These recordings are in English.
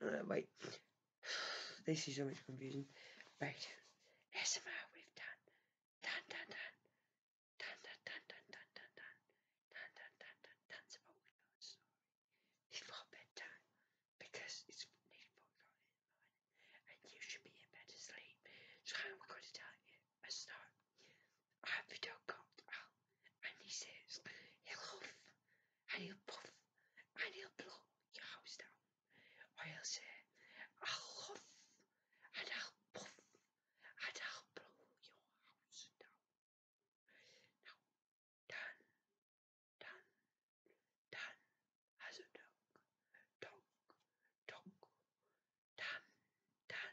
Uh, wait, this is so much confusing. Right, SMR, we've done, done, done, done, done, done, done, done, done, done, done, done, done, done, done, done, some old Lord's story before bedtime because it's nearly four o'clock in the morning and you should be in bed asleep. So I'm going to tell you mesela a video comes and he says, He'll huff and he'll puff and he'll blow your house down. Or he'll say, I'll huff and I'll puff and I'll blow your house down. Now, Dan, Dan, Dan has a dog. Dog, dog. Dan, Dan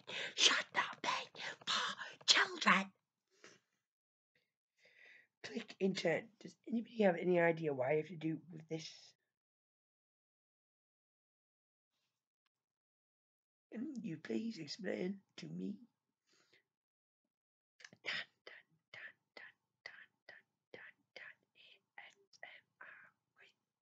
it should not children. Click enter. Does anybody have any idea why I have to do with this? Can you please explain to me?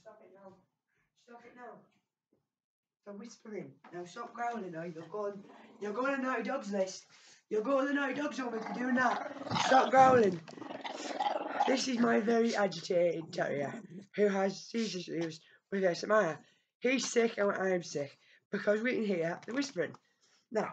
stop it now. Stop whispering. Now stop growling or you're going you're going to Naughty Dog's list. You're going to Naughty Dog's home if you're doing that. Stop growling. This is my very agitated terrier who has seizure issues with SMR. He's sick and I'm sick because we can hear the whispering. Now,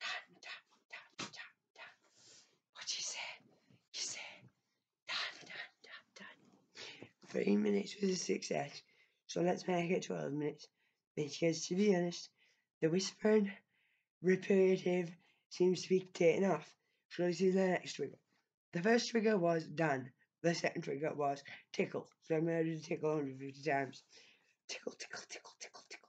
Done, done, done, done, done. What she said? She said, done, done, done, done. Three minutes was a success, so let's make it 12 minutes. Because to be honest, the whispered repetitive seems to be taken off. So this is the next trigger. The first trigger was done. The second trigger was tickle. So I'm going to tickle 150 times. Tickle, tickle, tickle, tickle, tickle.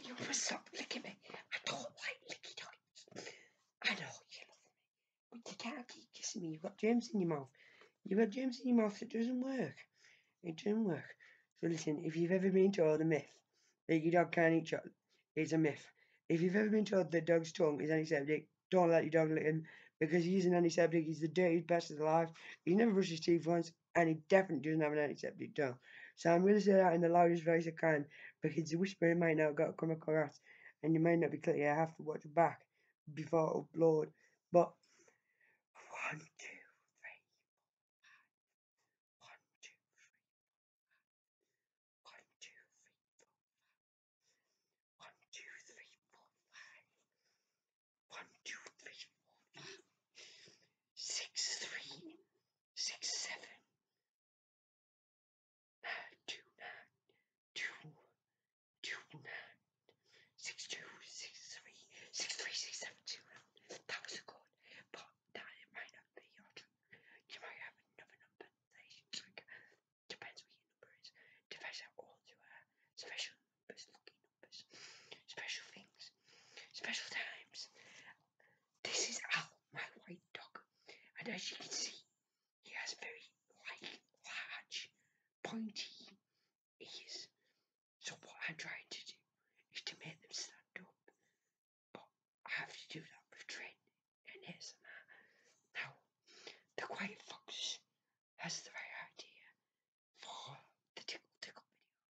You are must stop licking me. I don't like licky dogs. I know you love me, but you can't keep kissing me. You've got germs in your mouth. You've got germs in your mouth. It doesn't work. It doesn't work. So listen, if you've ever been told a myth that your dog can't eat chocolate, it's a myth. If you've ever been told that dog's tongue is antiseptic, don't let your dog lick him because he's an antiseptic. He's the dirtiest bastard alive. He never brushes his teeth once, and he definitely doesn't have an antiseptic dog. So I'm going to say that in the loudest voice I can because the whispering might not go come across and you might not be clear. I have to watch back before I upload. But one, two, three, one, two, three, one, two, three, one, two, three, four, five, one, two, three, four, five, six, three, six, seven, nine, two, nine, two, two, nine, six, two, six, three, six, three, six, seven, two. That was a good, but that it might not be your trigger. You might have another number trigger. Depends what your number is. Depends how old you are. Special numbers, lucky numbers, special things, special times. This is Al, my white dog, and as you can see, he has very like large, pointy ears. So what I'm trying to do is to make them stand up, but I have to do that with training and ASMR. Now, the Quiet Fox has the right idea for the Tickle Tickle video,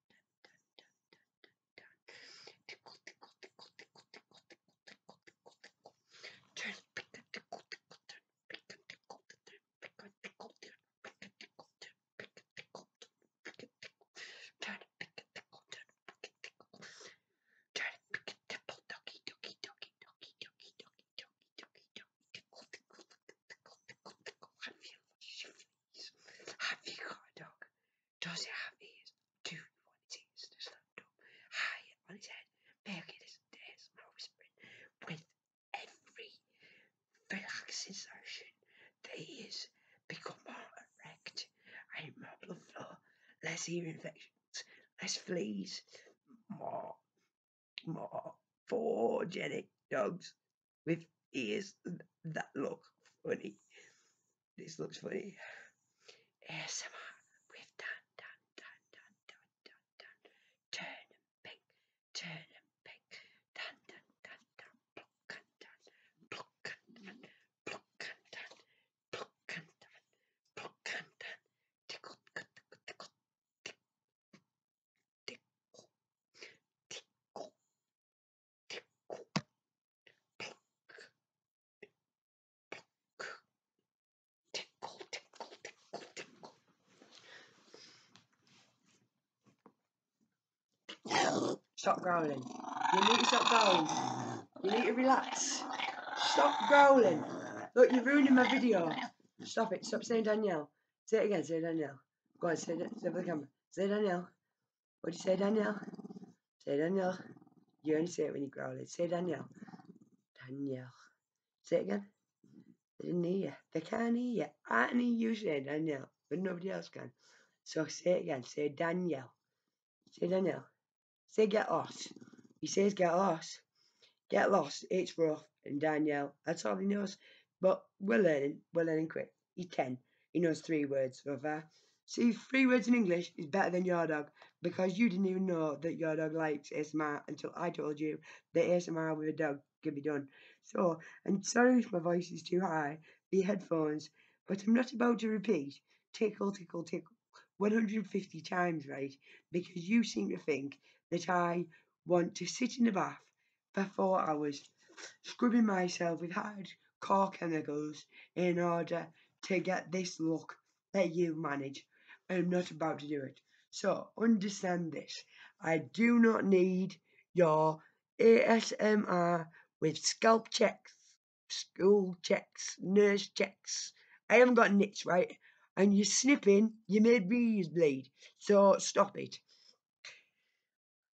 Tickle, tickle, tickle, tickle, tickle, tickle, tickle, tickle, tickle. Turn, pick and tickle, tickle, turn, pick and tickle, turn, pick and tickle, turn, pick and tickle, turn, pick and tickle, turn, pick and tickle, turn, pick and tickle, turn, pick and tickle, turn, pick and tickle, doggy, doggy, doggy, doggy, doggy, doggy, doggy, doggy, doggy, tickle, tickle, tickle, tickle, tickle, tickle. I feel the shivers. I feel hot dog. Does it have ears? Do you want its ears to stand up high on its head, Bear making its ASMR whispering? With every relaxation, the ears become more erect and more blood flow, less ear infections, less fleas, more, more genetic dogs with ears that look funny. This looks funny. ASMR with Dan, Dan, Dan, Dan, Dan, Dan, Dan. Turn and pink, turn and pink. Dan, Dan, Dan, Dan, pluck and Dan, pluck and Dan, pluck and Dan, pluck and Dan, pluck and Dan. Tickle, tickle, tickle, tickle, tickle, tickle, Stop growling. You need to stop growling. You need to relax. Stop growling. Look, you're ruining my video. Stop it. Stop saying Danielle. Say it again. Say Danielle. Go on, say it. Say it for the camera. Say Danielle. What do you say, Danielle? Say, Danielle. You only say it when you growl it. Say, Danielle. Danielle. Say it again. They didn't hear you. They can't hear you. I can hear you say Danielle, but nobody else can. So say it again. Say Danielle. Say Danielle. Say get lost. He says get lost. Get lost. It's rough. And Danielle. That's all he knows. But we're learning. We're learning quick. He can. He knows three words so far. See, three words in English is better than your dog because you didn't even know that your dog likes ASMR until I told you that ASMR with a dog can be done. So, I'm sorry if my voice is too high, the headphones, but I'm not about to repeat tickle, tickle, tickle 150 times, right? Because you seem to think that I want to sit in the bath for hours, scrubbing myself with hard core chemicals in order to get this look that you manage. I'm not about to do it. So understand this. I do not need your ASMR with scalp checks, school checks, nurse checks. I haven't got nits, right? And you're snipping, you made me bleed. So stop it.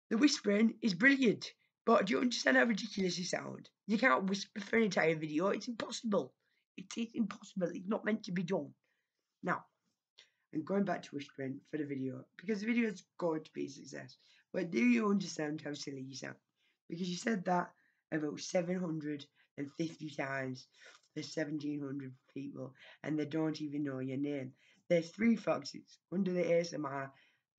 The whispering is brilliant, but do you understand how ridiculous it sounds? You can't whisper for an entire video. It's impossible. It is impossible. It's not meant to be done. Now, I'm going back to whispering for the video because the video is going to be a success. But do you understand how silly you sound? Because you said that about 750 times for 1700 people and they don't even know your name. There's three foxes under the ASMR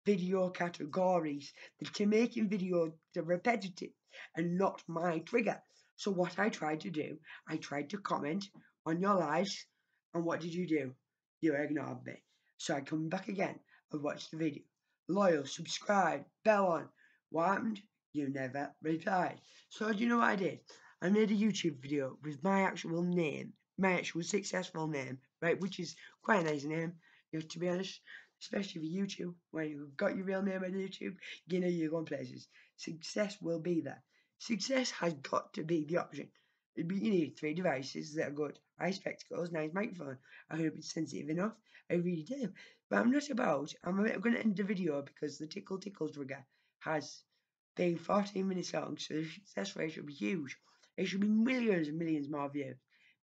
video categories that are making video that repetitive and not my trigger. So what I tried to do, I tried to comment on your lives and what did you do? You ignored me. So I come back again and watch the video. Loyal, subscribe, bell on. What happened? You never replied. So do you know what I did? I made a YouTube video with my actual name match was successful now, right? Which is quite nice now, you to be honest. Especially for YouTube, when you've got your real name on YouTube, you know you're going places. Success will be there. Success has got to be the option. You need three devices that are good. I spectacles, nice microphone. I hope it's sensitive enough. I really do. But I'm not about, I'm going to end the video because the tickle tickles trigger has being 14 minutes long, so the success rate should be huge. It should be millions and millions more views.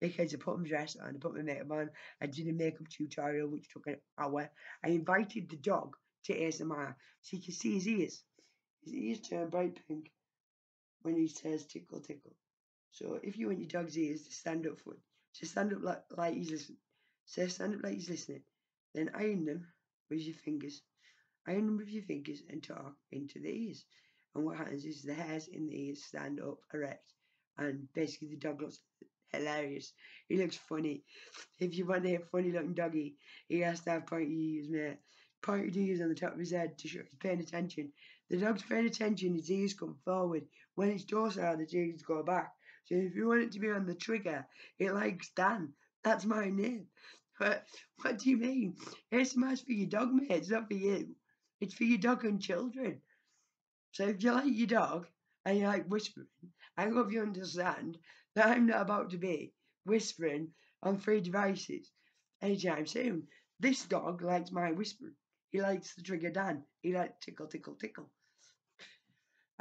Because I put my dress on, I put my makeup on, I did a makeup tutorial which took an hour. I invited the dog to ASMR so you can see his ears. His ears turn bright pink when he says tickle, tickle. So if you want your dog's ears to stand up for, to stand up like, like he's listening, so stand up like he's listening, then iron them with your fingers, I iron with your fingers and talk into these. And what happens is the hairs in the ears stand up erect, and basically the dog looks hilarious. He looks funny. If you want to have funny looking doggy, he has to have pointy ears, man. Pointy ears on the top of his head to show he's paying attention. The dog's paying attention, his ears come forward. When it's docile, the ears go back. So if you want it to be on the trigger, it likes Dan. That's my name. What, what do you mean? It's SMI's for your dog, mate. It's not for you. It's for your dog and children. So if you like your dog and you like whispering, I hope you understand that I'm not about to be whispering on three devices anytime soon. This dog likes my whispering. He likes the trigger Dan. He likes tickle, tickle, tickle.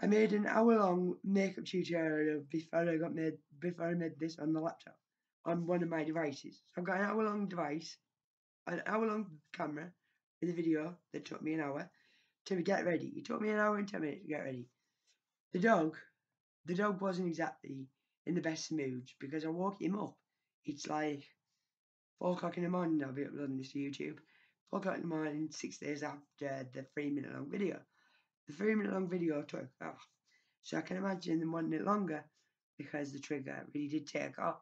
I made an hour long makeup tutorial before I got made before I made this on the laptop on one of my devices. I've got an hour long device, an hour long camera with a video that took me an hour to get ready. It took me an hour and ten minutes to get ready. The dog, the dog wasn't exactly in the best mood because I woke him up. It's like four o'clock in the morning. I'll be uploading this to YouTube. Four o'clock in the morning, six days after the three minute long video the three minute long video took off. Oh, so I can imagine the one minute longer because the trigger really did take off.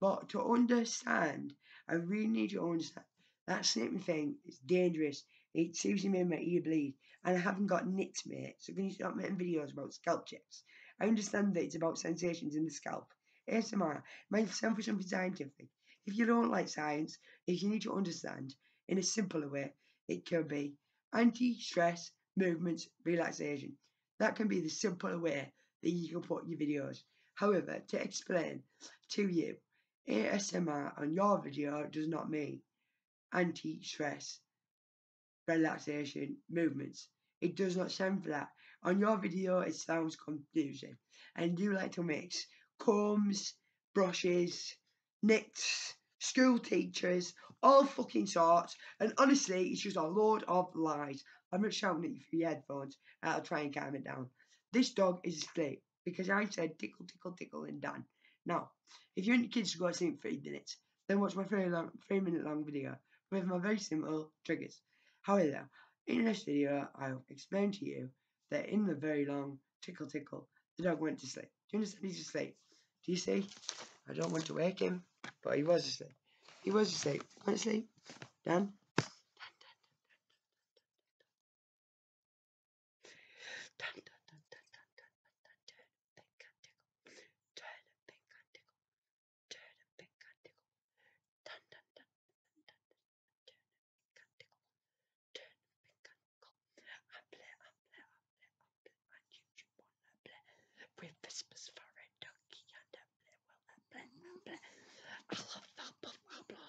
But to understand, I really need to understand that snipping thing is dangerous. It seriously may make you bleed. And I haven't got nits, mate. So can you stop making videos about scalp chips? I understand that it's about sensations in the scalp. ASMR, mind yourself for something scientific. If you don't like science, if you need to understand in a simpler way, it could be anti-stress, movements, relaxation. That can be the simple way that you can put your videos. However, to explain to you, ASMR on your video does not mean anti-stress, relaxation, movements. It does not sound for that. On your video, it sounds confusing. And you like to mix combs, brushes, knits, school teachers, all fucking sorts. And honestly, it's just a load of lies. I'm not shouting at you through your headphones. I'll try and calm it down. This dog is asleep because I said tickle, tickle, tickle, and done. Now, if you want your kids to go to sleep for eight minutes, then watch my three minute long video with my very simple triggers. However, in this video, I'll explain to you that in the very long tickle, tickle. The dog went to sleep. Do you understand? He's asleep. Do you see? I don't want to wake him, but he was asleep. He was asleep. Want to sleep. Done with Christmas for a donkey and a bleh, well, a bleh, bleh. I love Fablo Fablo.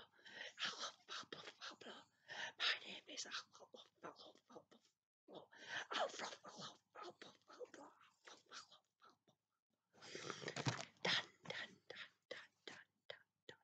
I love Fablo Fablo. My name is Alpha Alpha Alpha Alpha Alpha Alpha Alpha Alpha Alpha Alpha Dun dun dun dun dun dun dun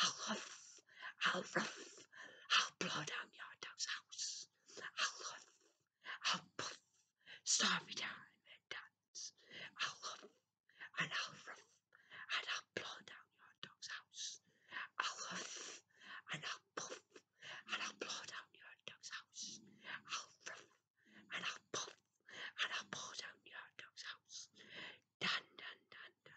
I'll huff, I'll ruff, I'll blow down your dog's house. I'll huff, I'll puff, stormy down and dance. I'll huff, and I'll ruff, and I'll blow down your dog's house. I'll huff, and I'll puff, and I'll blow down your dog's house. I'll ruff, and I'll puff, and I'll blow down your dog's house. Dun, dun, dun, dun.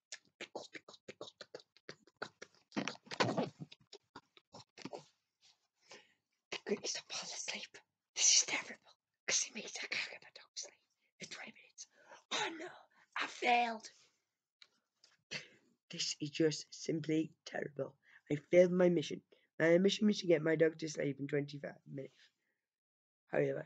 The Greeks are falling asleep. This is terrible because it means I get my dog sleep for 20 minutes. Oh no, I failed. This is just simply terrible. I failed my mission. My mission was to get my dog to sleep in 25 minutes. However,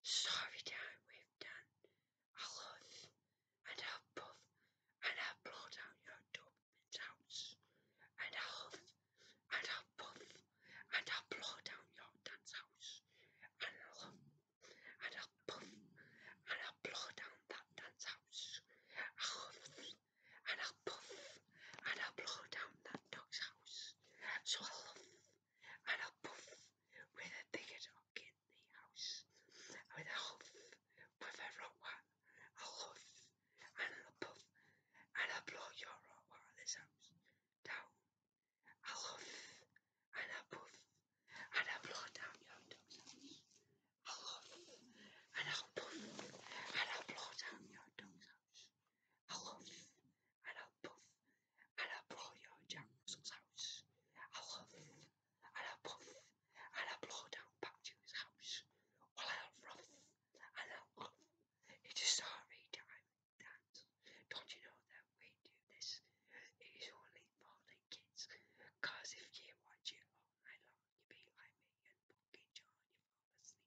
Sorry down we've done. I love and i puff and I'll blow down your doveman's house. And i huff and i puff and I'll blow down your dad's house. And i huff and i puff and I'll blow down that dad's house. i huff and i puff and I'll blow down that dog's house. So i huff and a puff with a digger in the house, with a huff, with a rotwat, a huff, and a puff, and a blow your rotwat at this house down, a huff, and a puff, and a blow down your dog's house, a huff, and a puff, and a blow down your dog's house, a huff, I'll puff, I'll blow your Jack Russell's I'll I'll puff, I'll blow down back to I'll rough, I'll huff. It's a sorry time, Don't you know that we do this? It is only for the kids, cause if you watch it all oh, night long, you'll be like me and fucking John, you fall asleep.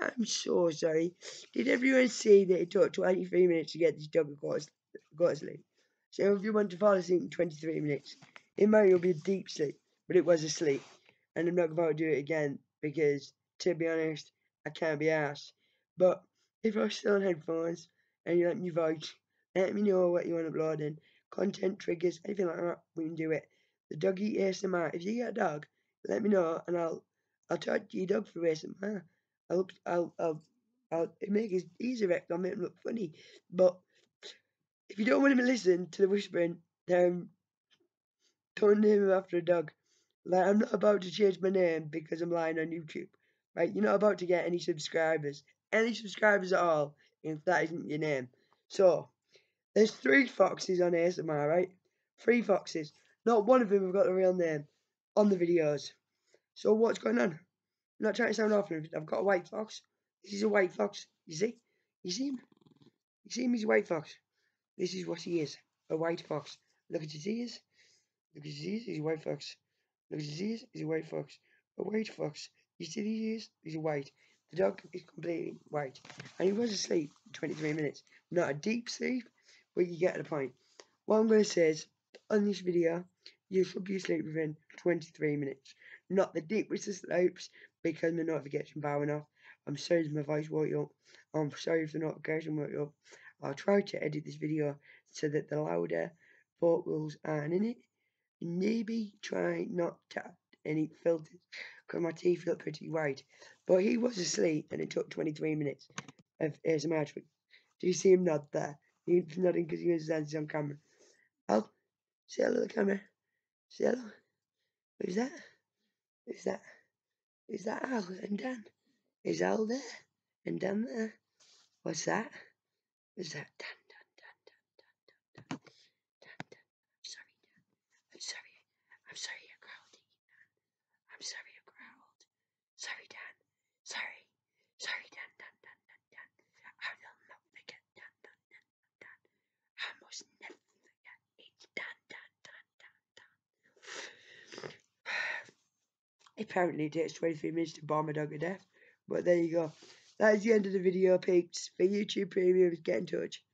I'm so sorry. Did everyone see that it took 23 minutes to get this dog to across Gosling? So if you want to fall asleep in 23 minutes, it might will be a deep sleep, but it was a sleep. And I'm not going to do it again because, to be honest, I can't be asked. But if i are still on headphones and you let me vote, let me know what you want uploading. Content triggers, anything like that, we can do it. The doggy ASMR. If you get a dog, let me know and I'll I'll i to charge G Dog for racing man. I'll I'll I'll make his ears erect. I'll make him look funny. But if you don't want him to listen to the whispering, then turn not name him after a dog. Like I'm not about to change my name because I'm lying on YouTube. Right? You're not about to get any subscribers, any subscribers at all, if that isn't your name. So there's three foxes on ASMR, right? Three foxes. Not one of them have got a real name on the videos. So what's going on? I'm not trying to sound off. I've got a white fox. This is a white fox. You see? You see him? You see him? He's a white fox. This is what he is. A white fox. Look at his ears. Look at his ears. He's a white fox. Look at his ears. He's a white fox. A white fox. You see these ears? He's white. The dog is completely white. And he was asleep 23 minutes not a deep sleep, but you get the point. What I'm going to say is, on this video, you should be asleep within 23 minutes. Not the deepest of slopes, because my notification bar went off. I'm sorry if my voice woke you up. I'm sorry if the notification woke you up. I'll try to edit this video so that the louder vocals aren't in it. Maybe try not to add any filters, because my teeth look pretty white. But he was asleep, and it took 23 minutes of his to Do you see him nod there? He's nodding because he understands he's on camera. Al, oh, say hello to the camera. Say hello. Who's that? Is that? Is that Al oh, and Dan? Is Al there? And Dan there? What's that? Is that Dan, I'm sorry, Dad. I'm sorry. I'm sorry I growled at you, Dad. I'm sorry I growled. Sorry, Dad. Sorry. Sorry, Dad, Dad, Dad, Dad, Dad. I will not forget, Dad, Dad, Dad, Dad, Dad. I must never forget. It's Dad, Dad, Dad, Dad, Dad. Apparently it takes 23 minutes to bomb a dog to death. But there you go. That is the end of the video, peeps. For YouTube Premiums, get in touch.